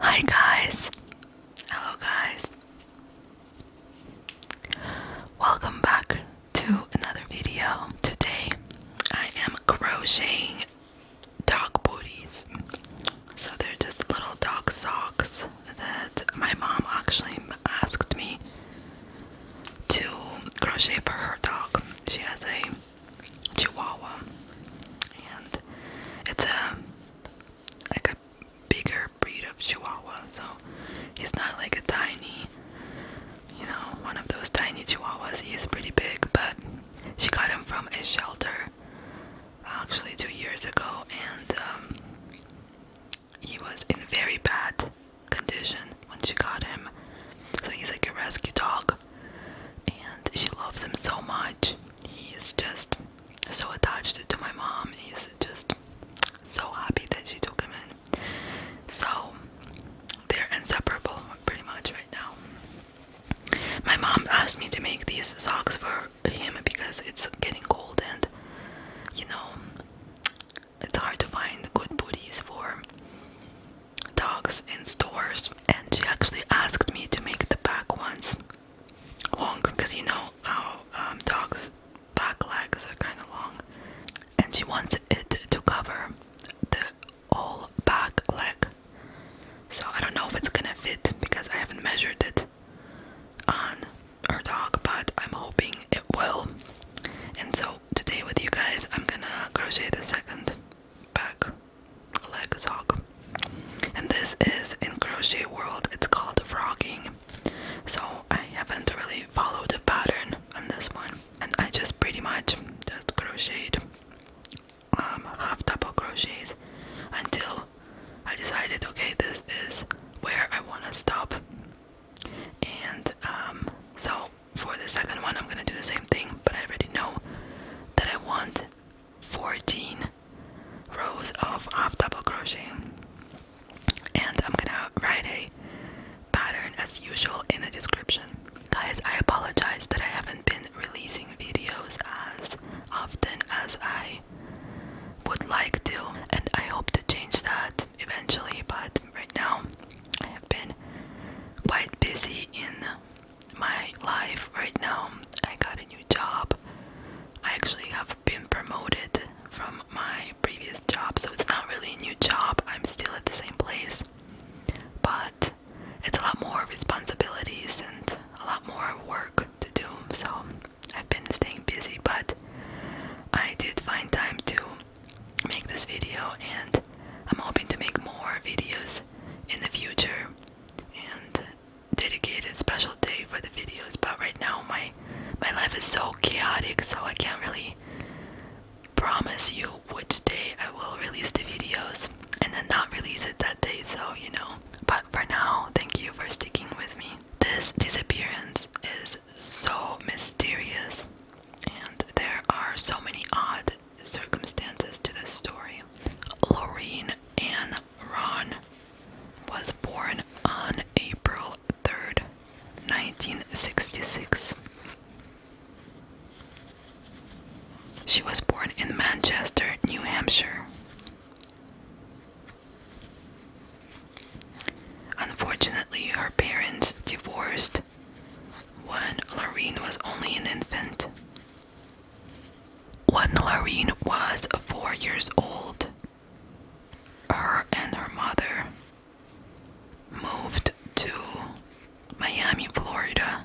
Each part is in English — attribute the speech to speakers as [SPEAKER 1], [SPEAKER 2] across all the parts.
[SPEAKER 1] Hi, guys. Hello, guys. Welcome back to another video. Today I am crocheting dog booties. So they're just little dog socks that my mom actually asked me to crochet for her dog. She has a chihuahua and it's a like a bigger breed of chihuahua so he's not like a tiny you know one of those tiny chihuahuas he is pretty big but she got him from a shelter actually two years ago and um, he was in very bad condition when she got him. So he's like a rescue dog, and she loves him so much. He is just so attached to my mom. He's just so happy that she took him in. So they're inseparable pretty much right now. My mom asked me to make these socks for him because it's getting cold and you know it's hard to find good booties for dogs in stores and she actually asked me to make the back ones long because you know how um, dogs back legs are kind of long and she wants it to cover the whole back leg so I don't know if it's gonna fit because I haven't measured it on our dog, but I'm hoping it will. And so today with you guys, I'm gonna crochet the second back leg sock. And this is in crochet world. It's called frogging. So I haven't really followed the pattern on this one, and I just pretty much just crocheted um, half double crochets until I decided, okay, this is where I want to stop. And um, so for the second one, I'm gonna do the same thing, but I already know that I want 14 rows of half double crochet. And I'm gonna write a pattern as usual in the description. Guys, I apologize that I haven't been releasing videos as often as I would like to, and I hope to change that eventually. But right now, I have been quite busy in my life. Right now, I got a new job. I actually have been promoted from my previous job, so it's not really a new job. I'm still at the same place, but it's a lot more responsibilities and a lot more work to do. So I've been staying busy, but I did find time to make this video and I'm hoping to make more videos in the future and dedicate a special day for the videos but right now my my life is so chaotic so I can't really promise you which day I will release the videos and then not release it that day so you know but for now, thank you for sticking with me. This disappearance is so mysterious, and there are so many odd circumstances to this story. Lorraine Ann Ron was born on April 3rd, 1966. She was born in Manchester, New Hampshire. Unfortunately, her parents divorced when Lorraine was only an infant. When Lorraine was four years old, her and her mother moved to Miami, Florida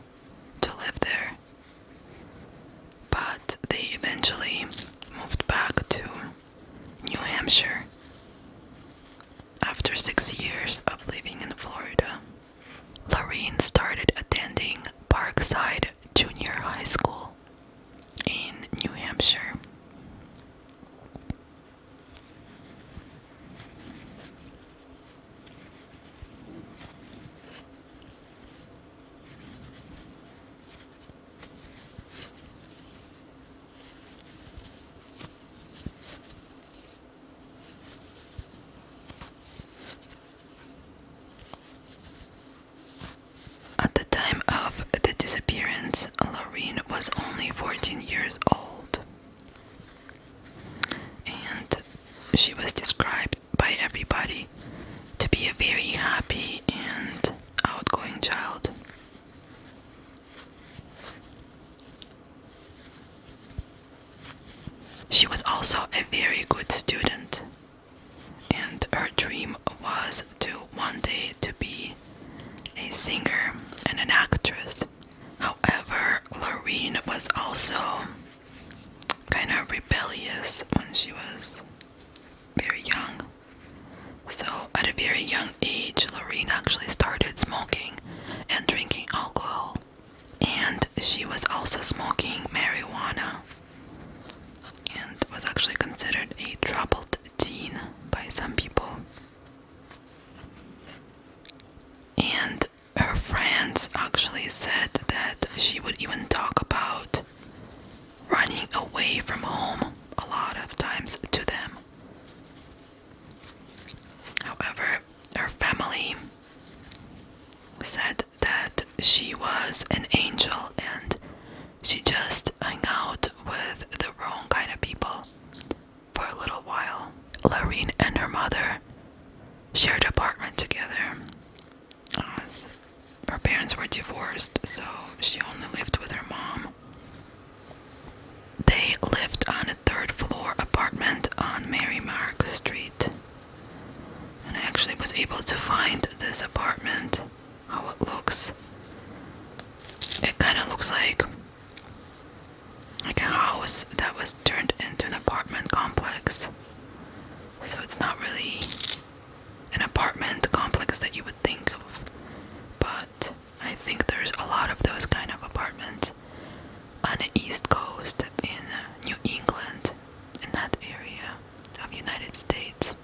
[SPEAKER 1] to live there. But they eventually moved back to New Hampshire. After six years of living in Florida, Lorraine started attending Parkside Junior High School in New Hampshire. At the time of the disappearance, Laureen was only 14 years old, and she was described by everybody to be a very happy and outgoing child. She was also a very good student, and her dream was to one day to be a singer and an actress. However, Lorraine was also kind of rebellious when she was very young. So, at a very young age, Lorraine actually started smoking and drinking alcohol, and she was also smoking marijuana and was actually considered a troubled teen by some people. And her friends actually said that she would even talk about running away from home a lot of times to them. However, her family said that she was an angel and she just hung out with the wrong kind of people for a little while. Lorene and her mother shared apartment together her parents were divorced, so she only lived with her mom. They lived on a third floor apartment on Mary Mark Street. And I actually was able to find this apartment, how it looks. It kind of looks like like a house that was turned into an apartment complex. So it's not really an apartment complex that you would think of, but I think there's a lot of those kind of apartments on the East Coast in New England, in that area of United States.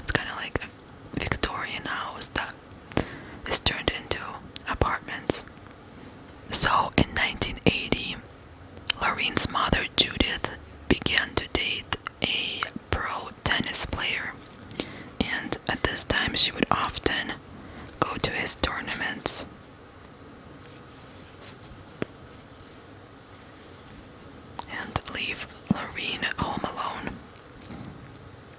[SPEAKER 1] It's kind of like a Victorian house that is turned into apartments. So in 1980, Laureen's mother Judith began to date a pro tennis player, and at this time she would often go to his tournaments. And leave Lorene home alone.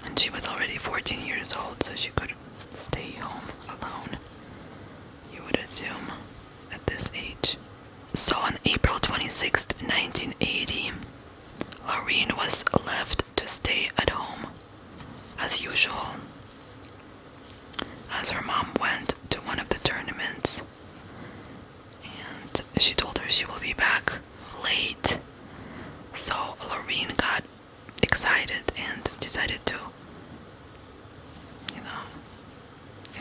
[SPEAKER 1] And she was already 14 years old, so she could stay home alone, you would assume, at this age. So on April twenty-sixth, 1980, Laureen was left to stay at home as usual as her mom went to one of the tournaments and she told her she will be back late so Laureen got excited and decided to you know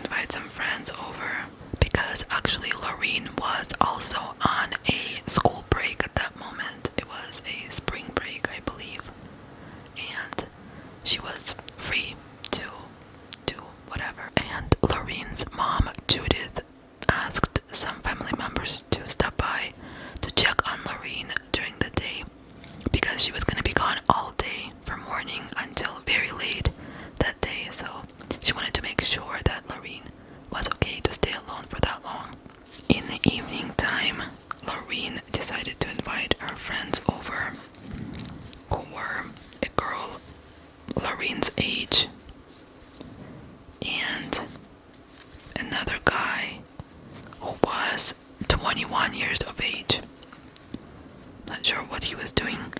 [SPEAKER 1] invite some friends over because actually Lorraine was also on a school break at that moment. It was a spring break, I believe, and she was free to do whatever. And Lorraine's mom, Judith, asked some family members to stop by to check on Lorraine during the day because she was going to be gone all day from morning until very late that day. So she wanted to make sure that Loreen was okay to stay alone for that long. In the evening time, Loreen decided to invite her friends over, who were a girl Loreen's age and another guy who was 21 years of age. Not sure what he was doing,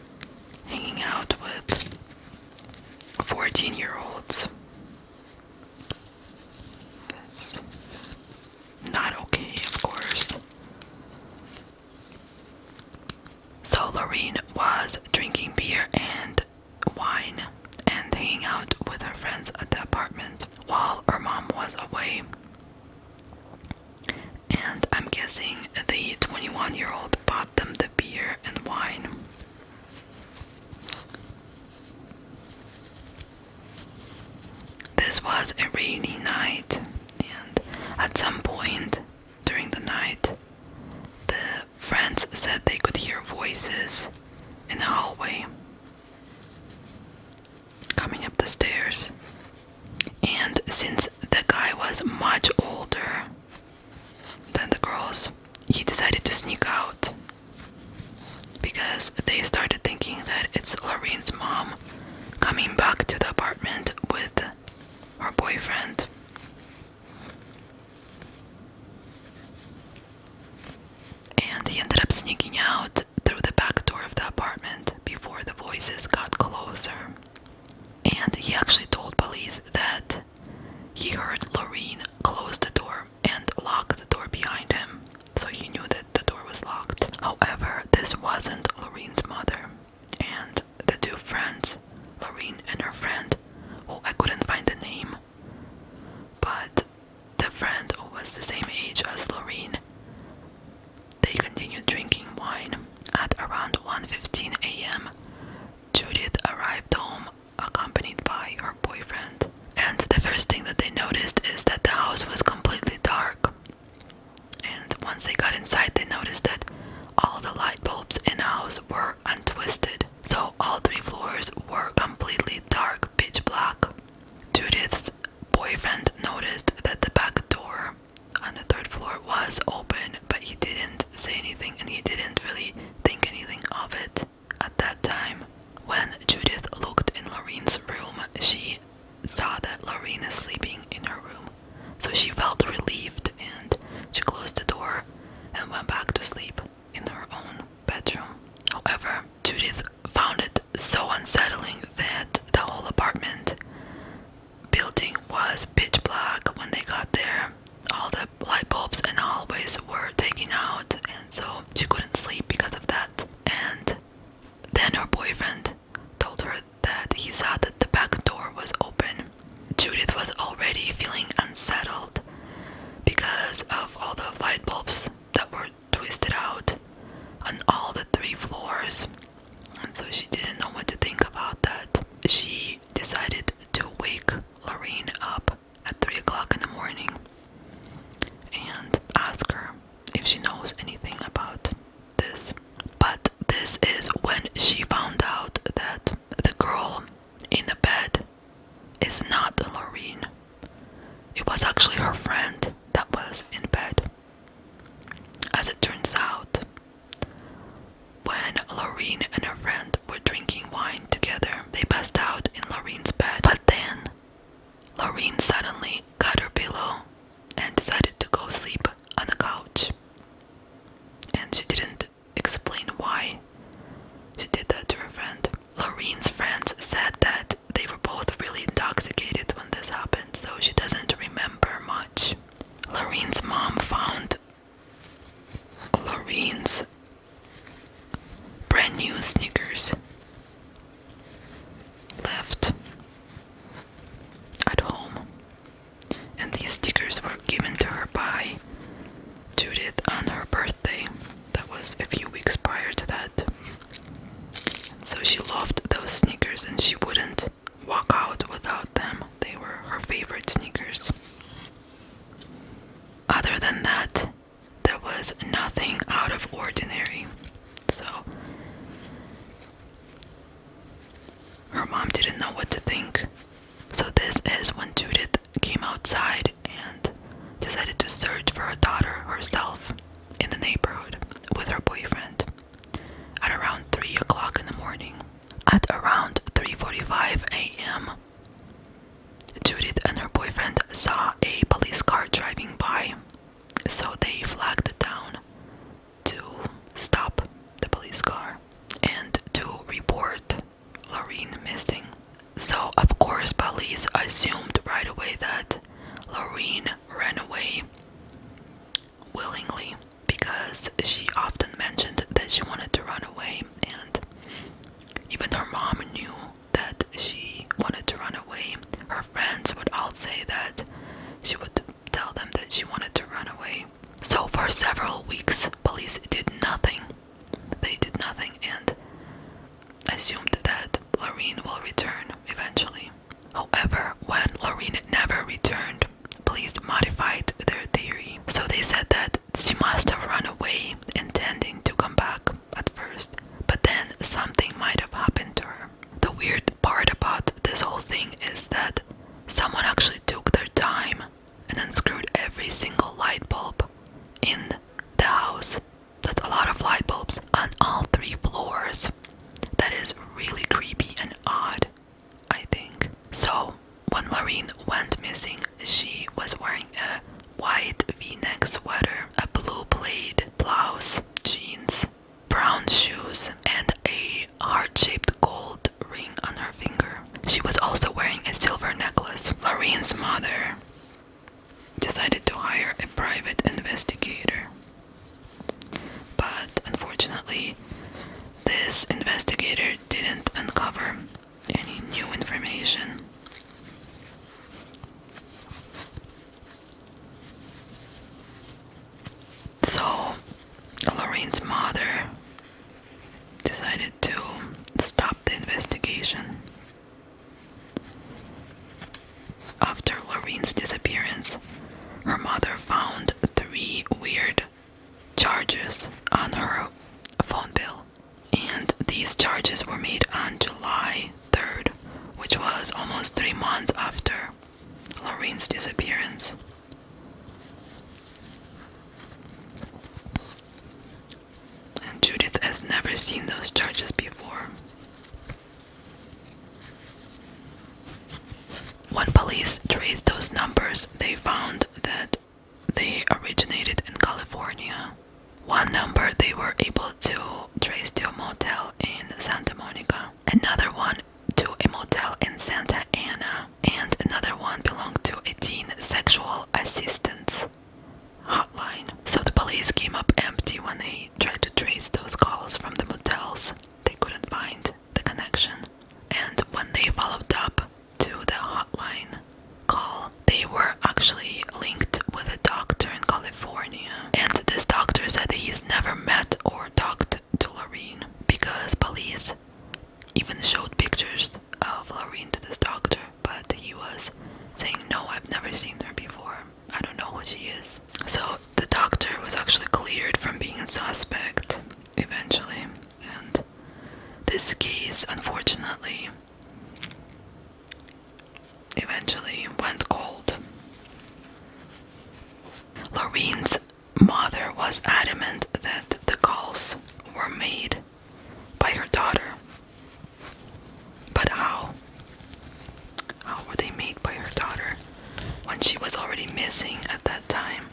[SPEAKER 1] hanging out with 14 year olds. That's not okay, of course. So Lorraine was drinking beer and wine and hanging out with her friends at the apartment while her mom was away. And I'm guessing the 21 year old them the beer and wine. This was a rainy night, and at some point during the night, the friends said they could hear voices in the hallway coming up the stairs. And since the guy was much older, than the girls, he decided to sneak out because they started thinking that it's Lorraine's mom coming back to the apartment with her boyfriend. And he ended up sneaking out through the back door of the apartment before the voices got closer. And he actually told police that he heard Lorraine close the door and lock the door behind him, so he knew that the door was locked. However, this wasn't Lorraine's mother, and the two friends, Lorraine and her friend, who I couldn't find the name, but the friend who was the same age as Lorraine. They continued drinking wine. At around 1:15 a.m., Judith arrived home accompanied by her boyfriend, and the first thing that they noticed is that the house was completely dark. And once they got inside, they noticed that all the light bulbs in the house were untwisted, so all three floors were completely dark, pitch black. Judith's boyfriend noticed that the back door on the third floor was open, but he didn't say anything and he didn't really think anything of it at that time. When Judith looked in Lorene's room, she saw that Lorene is sleeping in her room. So she felt relieved and she closed the door and went back to sleep in her own bedroom. However, Judith found it so unsettling that the whole apartment building was pitch black when they got there all the light bulbs in the hallways were taken out, and so she couldn't sleep because of that. And then her boyfriend told her that he saw that the back door was open. Judith was already feeling unsettled because of all the light bulbs that were twisted out on all the three floors. And so she didn't know what to think about that. She decided to wake Lorraine up at 3 o'clock in the morning and ask her if she knows anything about this. But this is when she found out that the girl in the bed is not Lorraine. It was actually her friend that was in bed. As it turns out, when Lorraine and her friend were drinking wine together, they passed out in Lorraine's bed. But then, Lorraine suddenly got her pillow and decided to go sleep on the couch. And she didn't explain why she did that to her friend. Lorraine's friends said that they were both really intoxicated when this happened, so she doesn't remember much. Lorraine's mom found Lorene's brand new sneakers left at home, and these stickers were given to her by Judith on her birthday. That was a few weeks prior to that. So she loved those sneakers and she wouldn't walk out without them. They were her favorite sneakers. Other than that, there was nothing out of ordinary. So her mom didn't know what to think. So, this is when Judith came outside and decided to search for her daughter herself in the neighborhood with her boyfriend at around 3 o'clock in the morning. At around 3:45 a.m., Judith and her boyfriend saw a police car driving by, so they flagged down to stop the police car and to report Lorraine missing. So, of course, police assumed right away that Lorraine ran away willingly because she often mentioned that she wanted to run away, and even her mom knew that she wanted to run away. Her friends would all say that she would tell them that she wanted to run away. So, for several weeks, police did nothing. They did nothing and assumed that Lorene will return eventually. However, when Lorene never returned, police modified their theory. So they said that she must have run away, intending to come back at first, but then something might have happened to her. The weird part about this whole thing is that someone actually took their time and unscrewed every single light bulb in the house. That's a lot of light bulbs on all three floors. That is really creepy and odd. I think. So, when Maureen went missing, she was wearing a white v-neck sweater, a blue plaid blouse, jeans, brown shoes, and a heart-shaped gold ring on her finger. She was also wearing a silver necklace. Maureen's mother decided to hire a private investigator. But unfortunately, this investigator didn't uncover any new information. So, Lorraine's mother decided to stop the investigation. After Lorraine's disappearance, her mother found three weird charges on her phone bill. And these charges were made on July 3rd, which was almost three months after Lorraine's disappearance. And Judith has never seen those charges before. When police traced those numbers, they found that they originated in California. One number they were able to trace to a motel in Santa Monica, another one to a motel in Santa Ana, and another one belonged to a teen sexual assistance hotline. So the police came up empty when they tried to trace those calls from the motels. They couldn't find the connection. And when they followed up, to the hotline call, they were actually linked with a doctor in California. And this doctor said he's never met or talked to Lorraine because police even showed pictures of Lorraine to this doctor, but he was saying, No, I've never seen her before. I don't know who she is. So the doctor was actually cleared from being a suspect eventually. And this case, unfortunately, eventually went cold. Lorraine's mother was adamant that the calls were made by her daughter. But how? How were they made by her daughter when she was already missing at that time?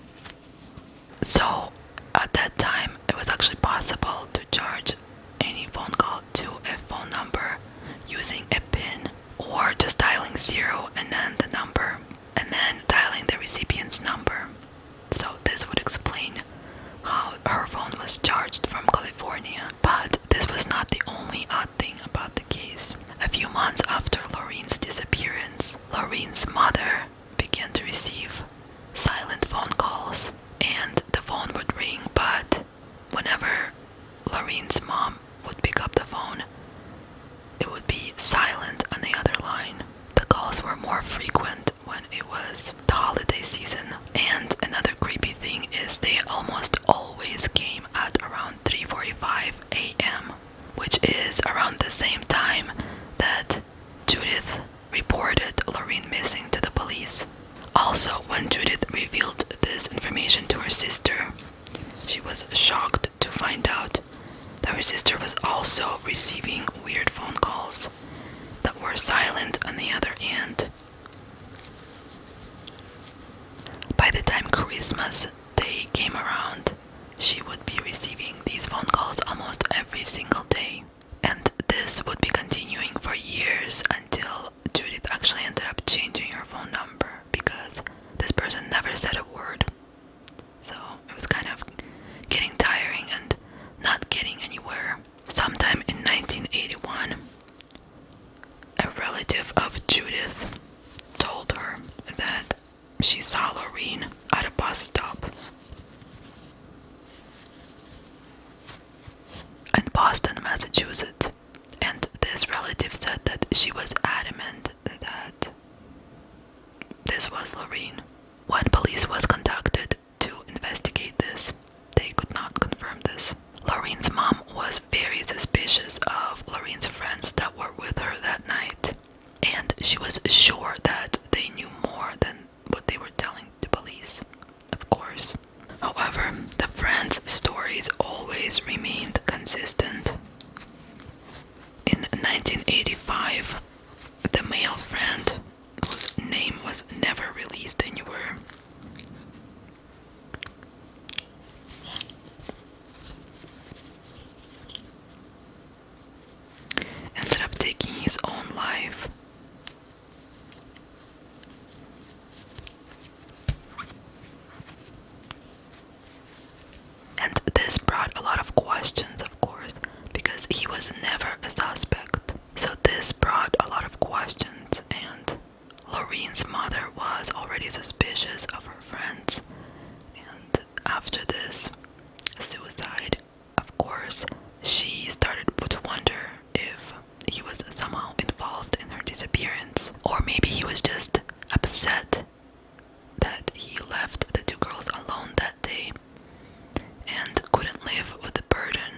[SPEAKER 1] So at that time, it was actually possible to charge any phone call to a phone number using a pin or just dialing zero and then the number and then dialing the recipient's number. So this would explain how her phone was charged from California. But this was not the only odd thing about the case. A few months after Lorene's disappearance, Lorene's mother began to receive silent phone calls, and the phone would ring, but whenever Lorene's mom would pick up the phone, it would be silent on the other line. The calls were more frequent when it was the holiday season. And another creepy thing is they almost always came at around 3:45 a.m., which is around the same time that Judith reported Lorraine missing to the police. Also, when Judith revealed this information to her sister, she was shocked to find out that her sister was also receiving weird phone calls that were silent on the other end. By the time Christmas Day came around, she would be receiving these phone calls almost every single day. And this would be continuing for years until Judith actually ended up changing her phone number because this person never said a word. So it was kind of getting tiring and not getting anywhere. Sometime in 1981, a relative of Judith told her that she saw Loreen at a bus stop in Boston, Massachusetts, and this relative said that she was adamant that this was Loreen. When police was conducted to investigate this, they could not confirm this. Loreen's mom was very suspicious of Loreen's friends that were with her that night, and she was sure that they knew more than what they were telling the police, of course. However, the friends' stories always remained consistent. In 1985, the male friend, whose name was never released anywhere, ended up taking his own life. And this brought a lot of questions, of course, because he was never a suspect. So, this brought a lot of questions, and Lorene's mother was already suspicious of her friends. And after this suicide, of course, she started to wonder if he was somehow involved in her disappearance, or maybe he was just upset that he left the two girls alone that day and couldn't live with the burden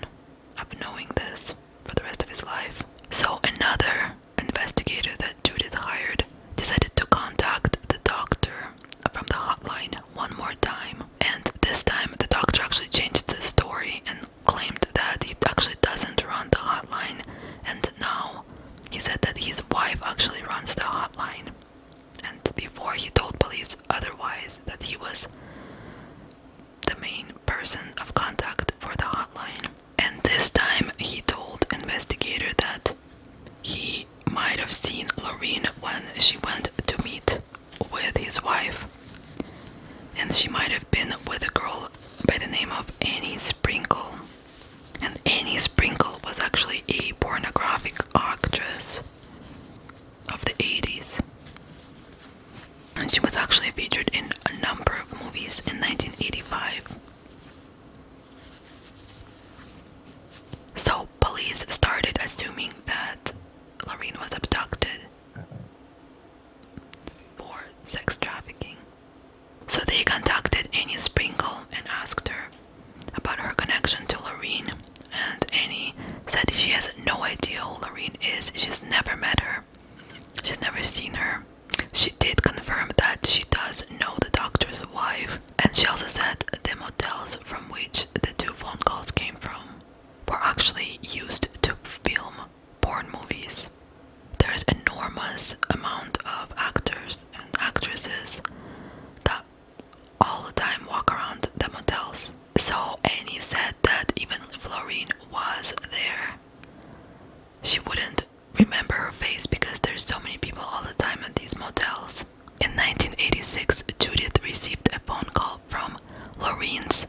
[SPEAKER 1] of knowing this for the rest of his life. So, another investigator that Judith hired decided to contact the doctor from the hotline one more time and this time, the doctor actually changed the story and claimed that he actually doesn't run the hotline. And now he said that his wife actually runs the hotline. And before he told police otherwise that he was the main person of contact for the hotline. And this time he told investigator that he might have seen Lorraine when she went to meet with his wife, and she might have been with a girl by the name of Annie Sprinkle. And Annie Sprinkle was actually a pornographic actress of the 80s. And she was actually featured in a number of movies in 1985. So, police started assuming that Lorraine was abducted for sex trafficking. So they contacted Annie Sprinkle and asked her about her connection to Lorraine. And Annie said she has no idea who Lorraine is. She's never met her. She's never seen her. She did confirm that she does know the doctor's wife, and she also said the motels from which the two phone calls came from were actually used to film porn movies. There's enormous amount of actors and actresses that all the time walk around the motels. So Annie said that even if Florine was there, she wouldn't remember her face because there's so many people all the time at these motels. In 1986, Judith received a phone call from Lorraine's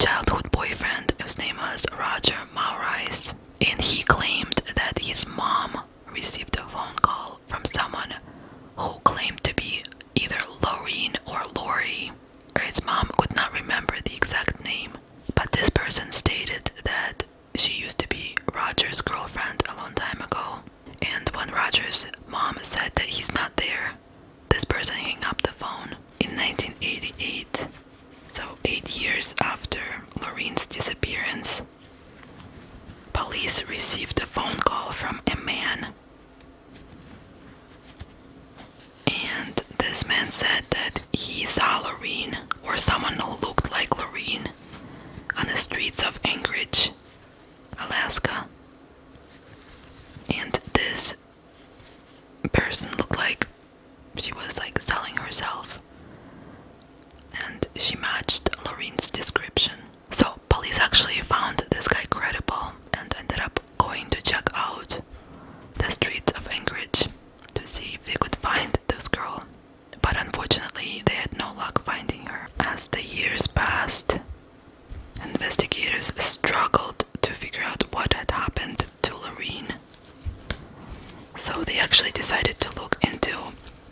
[SPEAKER 1] childhood boyfriend, whose name was Roger Maurice, and he claimed that his mom received a phone call from someone who claimed to be either Lorraine or Lori. His mom could not remember the exact name, but this person stated that she used to be Roger's girlfriend a long time ago. And when Roger's mom said that he's not there, this person hung up the phone. In 1988, so eight years after Lorraine's disappearance, police received a phone call from a man. And this man said that he saw Lorraine or someone who looked like Lorraine on the streets of Anchorage Alaska. And this person looked like she was like selling herself. And she matched Lorraine's description. So, police actually found this guy credible and ended up going to check out the streets of Anchorage to see if they could find this girl. But unfortunately, they had no luck finding her. As the years passed, Investigators struggled to figure out what had happened to Lorene. So they actually decided to look into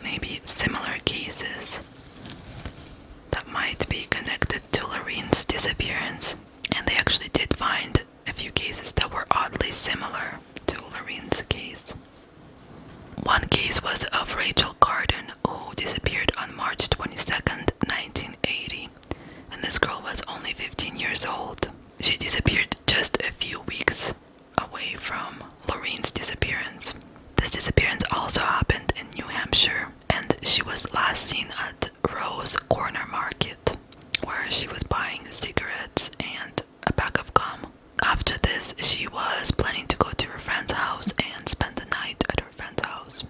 [SPEAKER 1] maybe similar cases that might be connected to Lorene's disappearance. And they actually did find a few cases that were oddly similar to Lorene's case. One case was of Rachel Carden, who disappeared on March twenty-second, 1980, and this girl was only 15 years old. She disappeared just a few weeks away from Lorraine's disappearance. This disappearance also happened in New Hampshire, and she was last seen at Rose Corner Market, where she was buying cigarettes and a pack of gum. After this, she was planning to go to her friend's house and spend the night at her friend's house.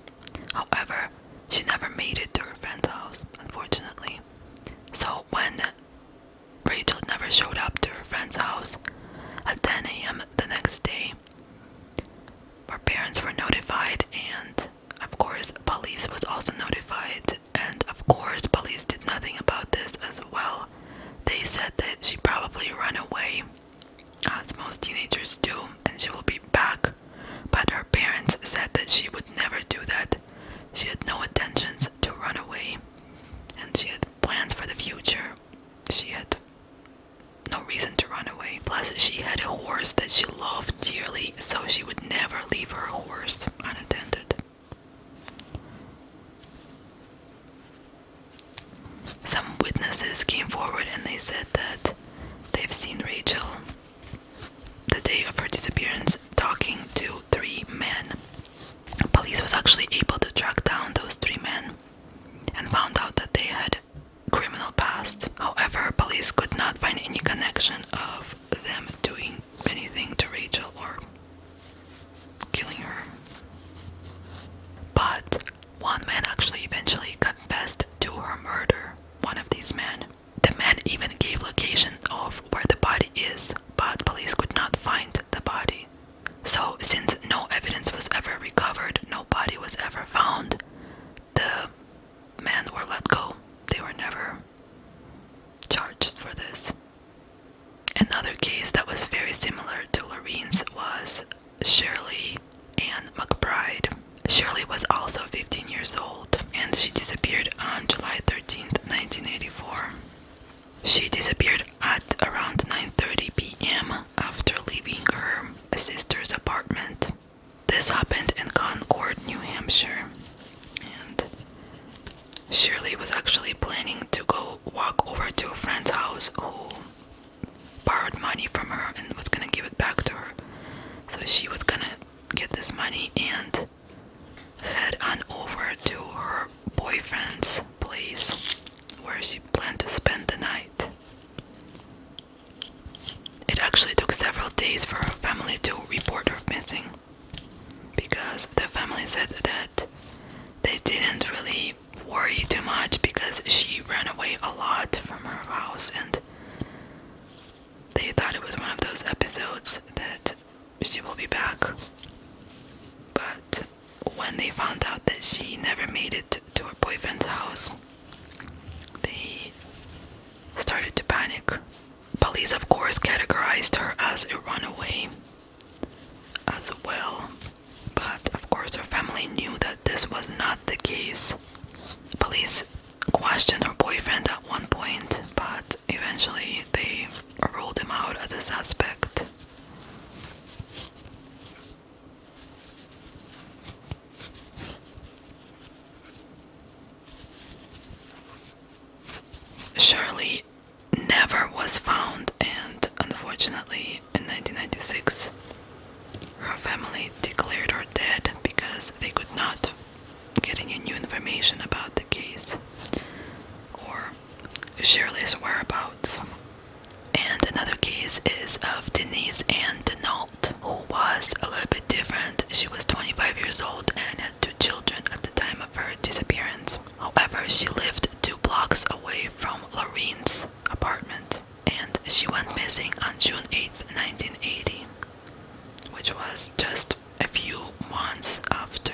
[SPEAKER 1] However, she never made it to her friend's house, unfortunately. So, when Rachel never showed up to her friend's house at 10 a.m. the next day, her parents were notified, and of course, police was also notified. And of course, police did nothing about this as well. They said that she probably ran away as most teenagers do, and she will be back. But her parents said that she would never do that. She had no intentions to run away, and she had plans for the future. She had no reason to run away. Plus, she had a horse that she loved dearly, so she would never leave her horse unattended. Some witnesses came forward and they said that they've seen Rachel the day of her disappearance talking to three men. Police was actually able to track down those three men and found out that they had criminal past. However, police could not find any connection of them doing anything to Rachel or killing her. But one man actually eventually confessed to her murder. One of these men. The man even gave location of where the body is, but police could not find the body. So, since no evidence was ever recovered, no body was ever found, the men were let go. They were never charged for this. Another case that was very similar to Lorene's was Shirley Ann McBride. Shirley was also 15 years old and she disappeared on July 13, 1984. She disappeared at around 9:30 p.m. after leaving her sister's apartment. This happened in Concord, New Hampshire. And Shirley was actually planning to go walk over to a friend's house who borrowed money from her and was gonna give it back to her. So she was gonna get this money and head on over to her boyfriend's place where she planned to spend the night. It actually took several days for her family to report her missing because the family said that they didn't really worry too much because she ran away a lot from her house and they thought it was one of those episodes that she will be back. But when they found out that she never made it to her boyfriend's house, they started to panic. Police, of course, categorized her as a runaway as well. But of course, her family knew that this was not the case. Police questioned her boyfriend at one point, but eventually they ruled him out as a suspect. Shirley never was found, and unfortunately, in 1996, her family declared her dead because they could not get any new information about the case or Shirley's whereabouts. And another case is of Denise Ann Denault, who was a little bit different. She was 25 years old and had two children at the time of her disappearance. However, she lived two blocks away from Lorene's apartment and she went missing on June 8, 1980, which was just a few months after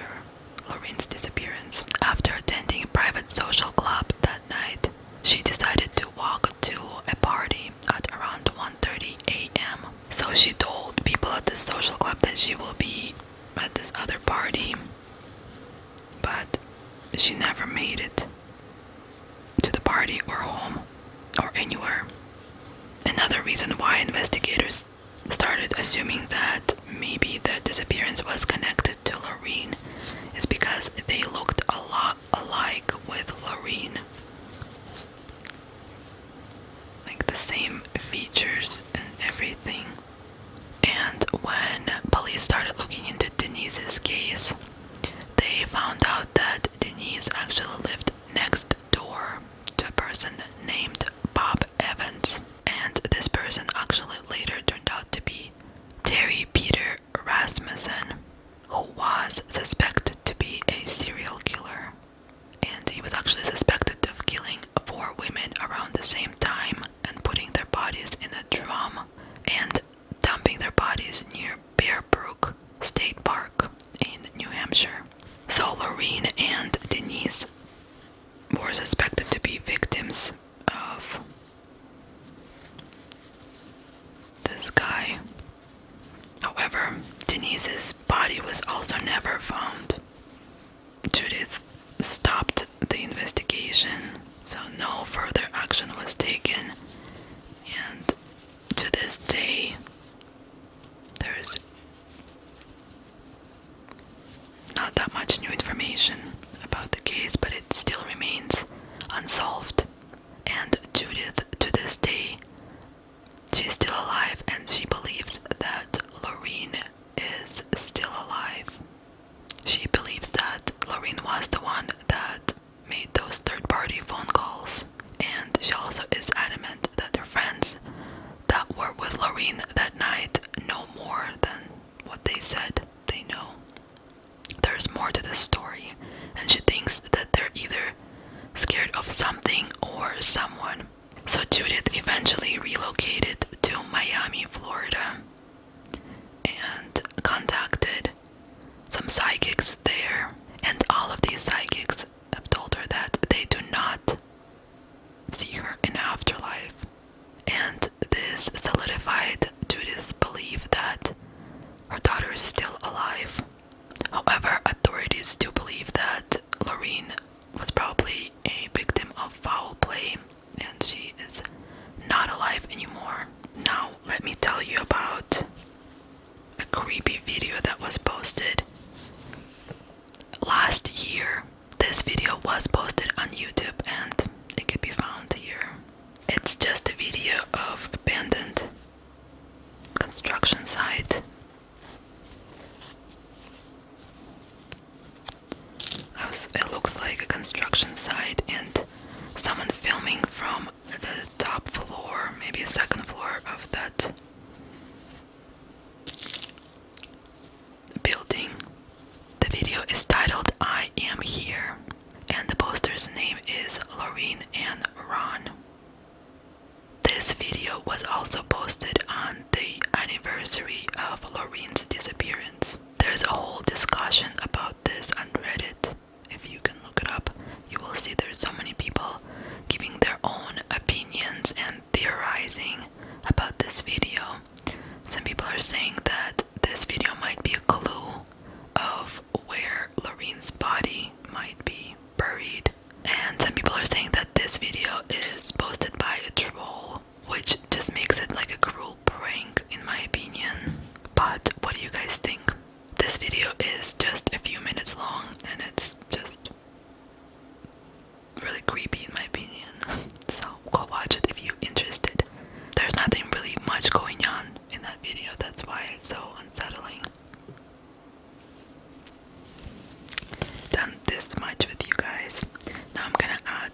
[SPEAKER 1] Lorraine's disappearance. After attending a private social club that night, she decided to walk to a party at around 1:30 a.m. So she told people at the social club that she will be at this other party but she never made it to the party or home or anywhere. Another reason why investigators started assuming that maybe the disappearance was connected to Loreen is because they looked a lot alike with Loreen. Like the same features and everything. And when police started looking into Denise's case, they found out that Denise actually lived next door to a person named Bob Evans, and this person actually later turned out to be Terry Peter Rasmussen, who was suspected to be a serial killer. And he was actually suspected of killing four women around the same time and putting their bodies in a drum and dumping their bodies near Bear Brook State Park in New Hampshire. So, Lorraine and Denise were suspected to be victims of this guy. However, Denise's body was also never found. Judith stopped the investigation, so no further action was taken, and to this day, there's not that much new information about the case, but it still remains unsolved. And Judith, to this day, she's still alive and she believes that Lorene is still alive. She believes that Lorraine was the one that made those third party phone calls, and she also is adamant that her friends that were with Lorraine that night know more than what they said they know. There's more to the story, and she thinks that they're either scared of something or someone. So Judith eventually relocated to Miami, Florida, and contacted some psychics there, and all of these psychics have told her that they do not see her in afterlife. And this solidified Judith's belief that her daughter is still alive. However, authorities do believe that Lorraine was probably a victim of foul play and she is not alive anymore. Now, let me tell you about a creepy video that was posted last year. This video was posted on YouTube and it can be found here. It's just a video of abandoned construction site. It looks like a construction site and someone filming from the top floor, maybe a second floor of that building. The video is titled I Am Here, and the poster's name is Loreen and Ron. This video was also posted on the anniversary of Loreen's disappearance. There's a whole discussion about this on Reddit if you can look it up, you will see there's so many people giving their own opinions and theorizing about this video. Some people are saying that this video might be a clue of where Lorene's body might be buried. And some people are saying that this video is posted by a troll, which just makes it like a cruel rule in my opinion but what do you guys think this video is just a few minutes long and it's just really creepy in my opinion so go watch it if you're interested there's nothing really much going on in that video that's why it's so unsettling done this much with you guys now i'm gonna add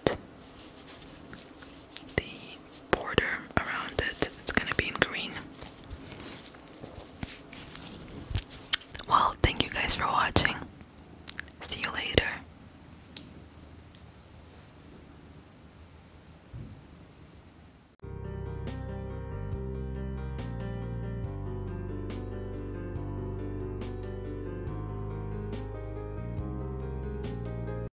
[SPEAKER 1] the border around it. It's gonna be in green. Well, thank you guys for watching. See you later.